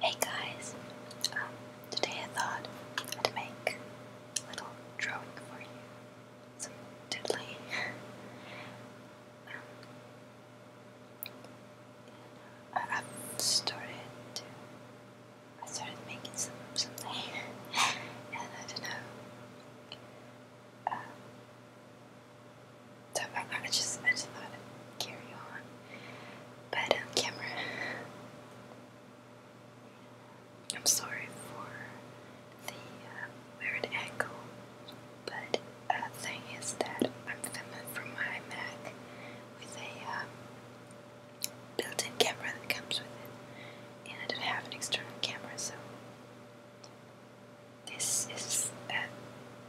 Hey guys, um, today I thought I'd make a little drawing for you. Some doodly. Um, uh, I, started to, I started making some something, and I don't know. Um, so I'm going just, I just carry on. But um, camera, I'm sorry for the uh, weird angle. But uh, thing is that I'm filming from my Mac with a um, built-in camera that comes with it, and I don't have an external camera, so this is uh,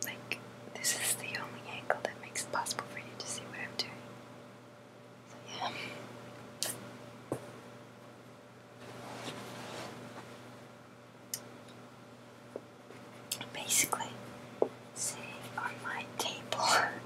like this is the only angle that makes it possible for you to see what I'm doing. So yeah. Basically, see on my table.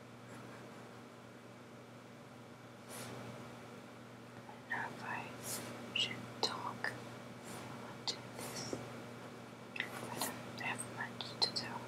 I know if I should talk to this. I don't have much to tell.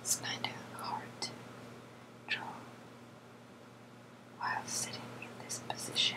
It's kind of hard to draw while sitting in this position.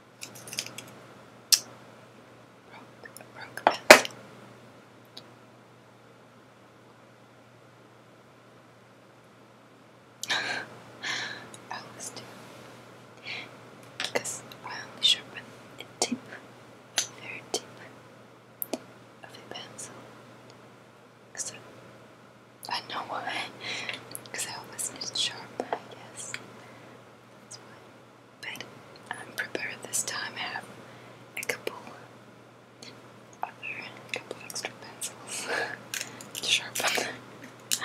Broke, broke I always do. Because I only sharpen a tip, very tip of a pencil. So I know why. Because I always need sharp, I guess. That's why. But I'm prepared this time. I have a couple other, a couple extra pencils to sharpen.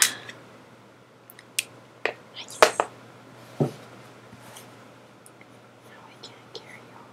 nice. Now I can carry on.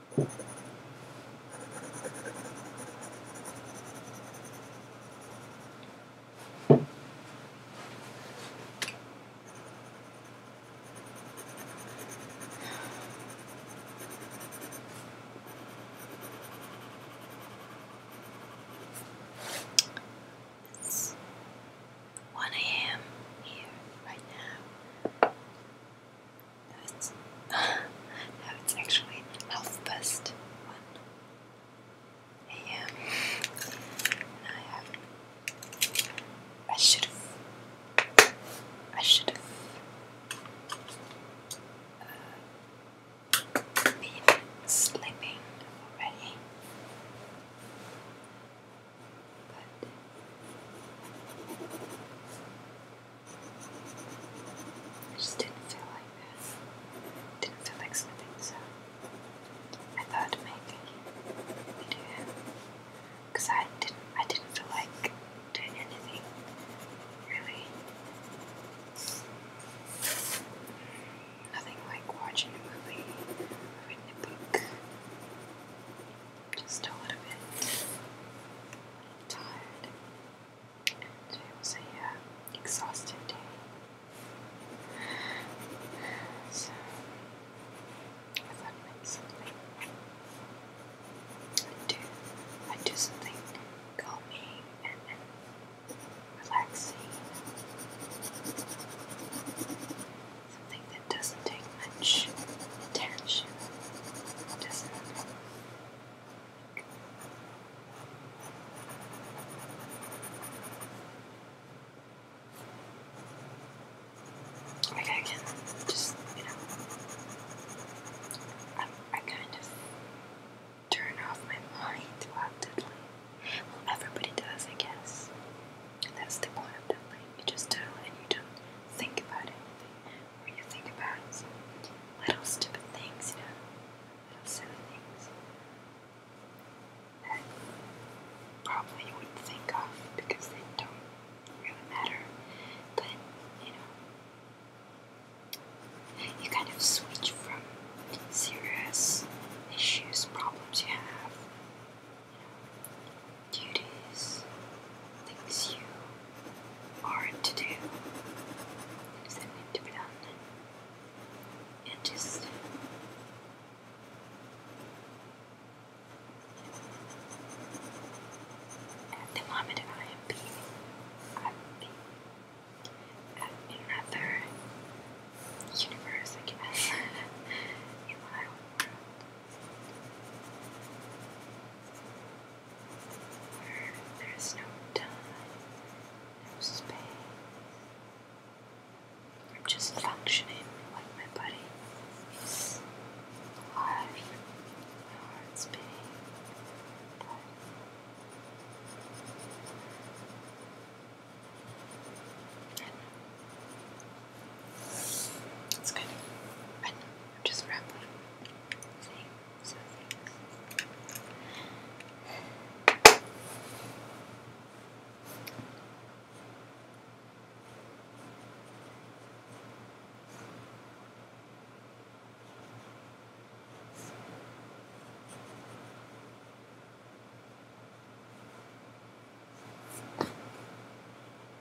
It's 1 a.m. here right now. It's, it's actually Health Best one. Yeah, I have. I should have. I should have. Uh, been sleeping already. But I just didn't feel like this. Didn't feel like snipping, so I thought maybe video. Cause I didn't I didn't feel like doing anything really. Nothing like watching a movie reading a book just a little bit tired. And it was a uh, exhaustive day. So I thought i I'd do, I'd do something calming and, and relaxing. Something that doesn't take much attention does I can just, you know, I, kind of turn off my mind reluctantly. Well, everybody does, I guess. that's the point of that thing. You just do it and you don't think about anything when you think about it. So little stupid things, you know, little silly things that probably you wouldn't think of because they don't really matter. But, you know, you kind of switch from serious issues, problems you have, you know, duties, things you are to do, things that need to be done, and just the moment I am being, I'm being another universe, I guess, in my own world. There is no time, no space. I'm just functioning like my body is alive. My heart's beating. It's kind I'm just rambling. See? So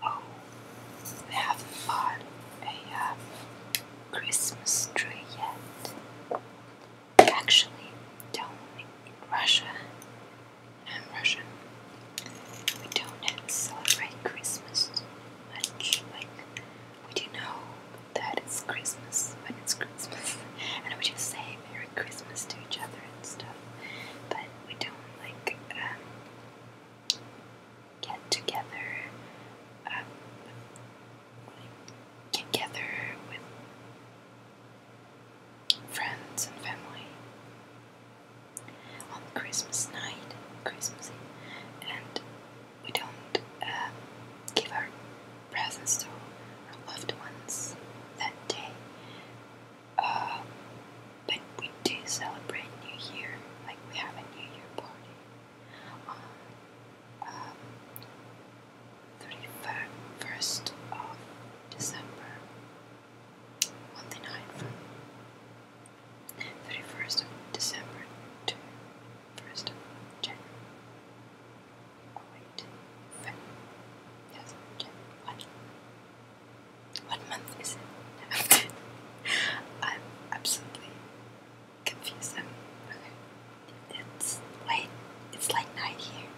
Oh, we haven't bought a um, Christmas tree yet. Actually, don't in Russia. I'm Russian. We don't celebrate Christmas much like we do know that it's Christmas when it's Christmas? and we just say Merry Christmas to each other and stuff? But we don't like um, get together, um, like, together with friends and family on Christmas night, Christmas Eve, and we don't uh, give our presents to our loved ones that day. Uh, but we do celebrate New Year, like we have a New Year party on 31st um, of December, on night 31st of December to 1st of January. wait, Feb yes, January. What? month is it? I'm absolutely confused. Um, okay, it's late. It's late night here.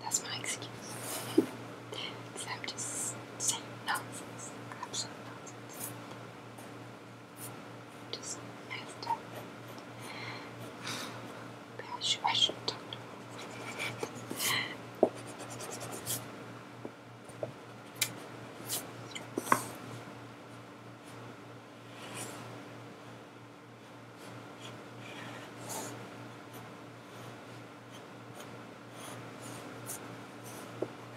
That's my excuse. Because I'm just saying just messed up. I should, I should talk to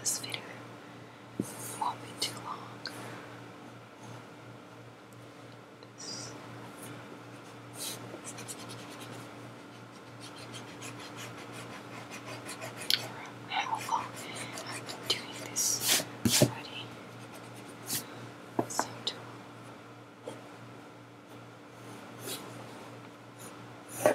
This video won't be too long. How long I've been doing this already? Same tool. Right.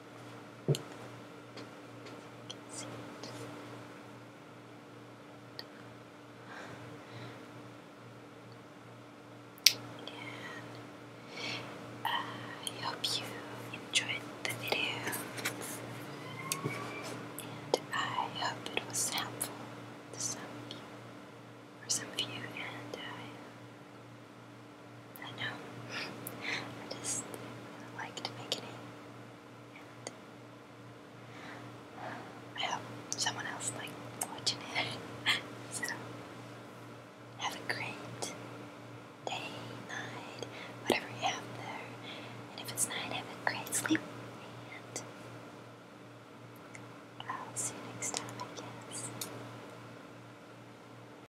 You can uh, I hope you enjoyed the video, and I hope it was helpful to some of you, or some of you, and I I know. I just really liked making it. And I hope someone else like watching so have a great day, night, whatever you have there. And if it's night, have a great sleep. And I'll see you next time, I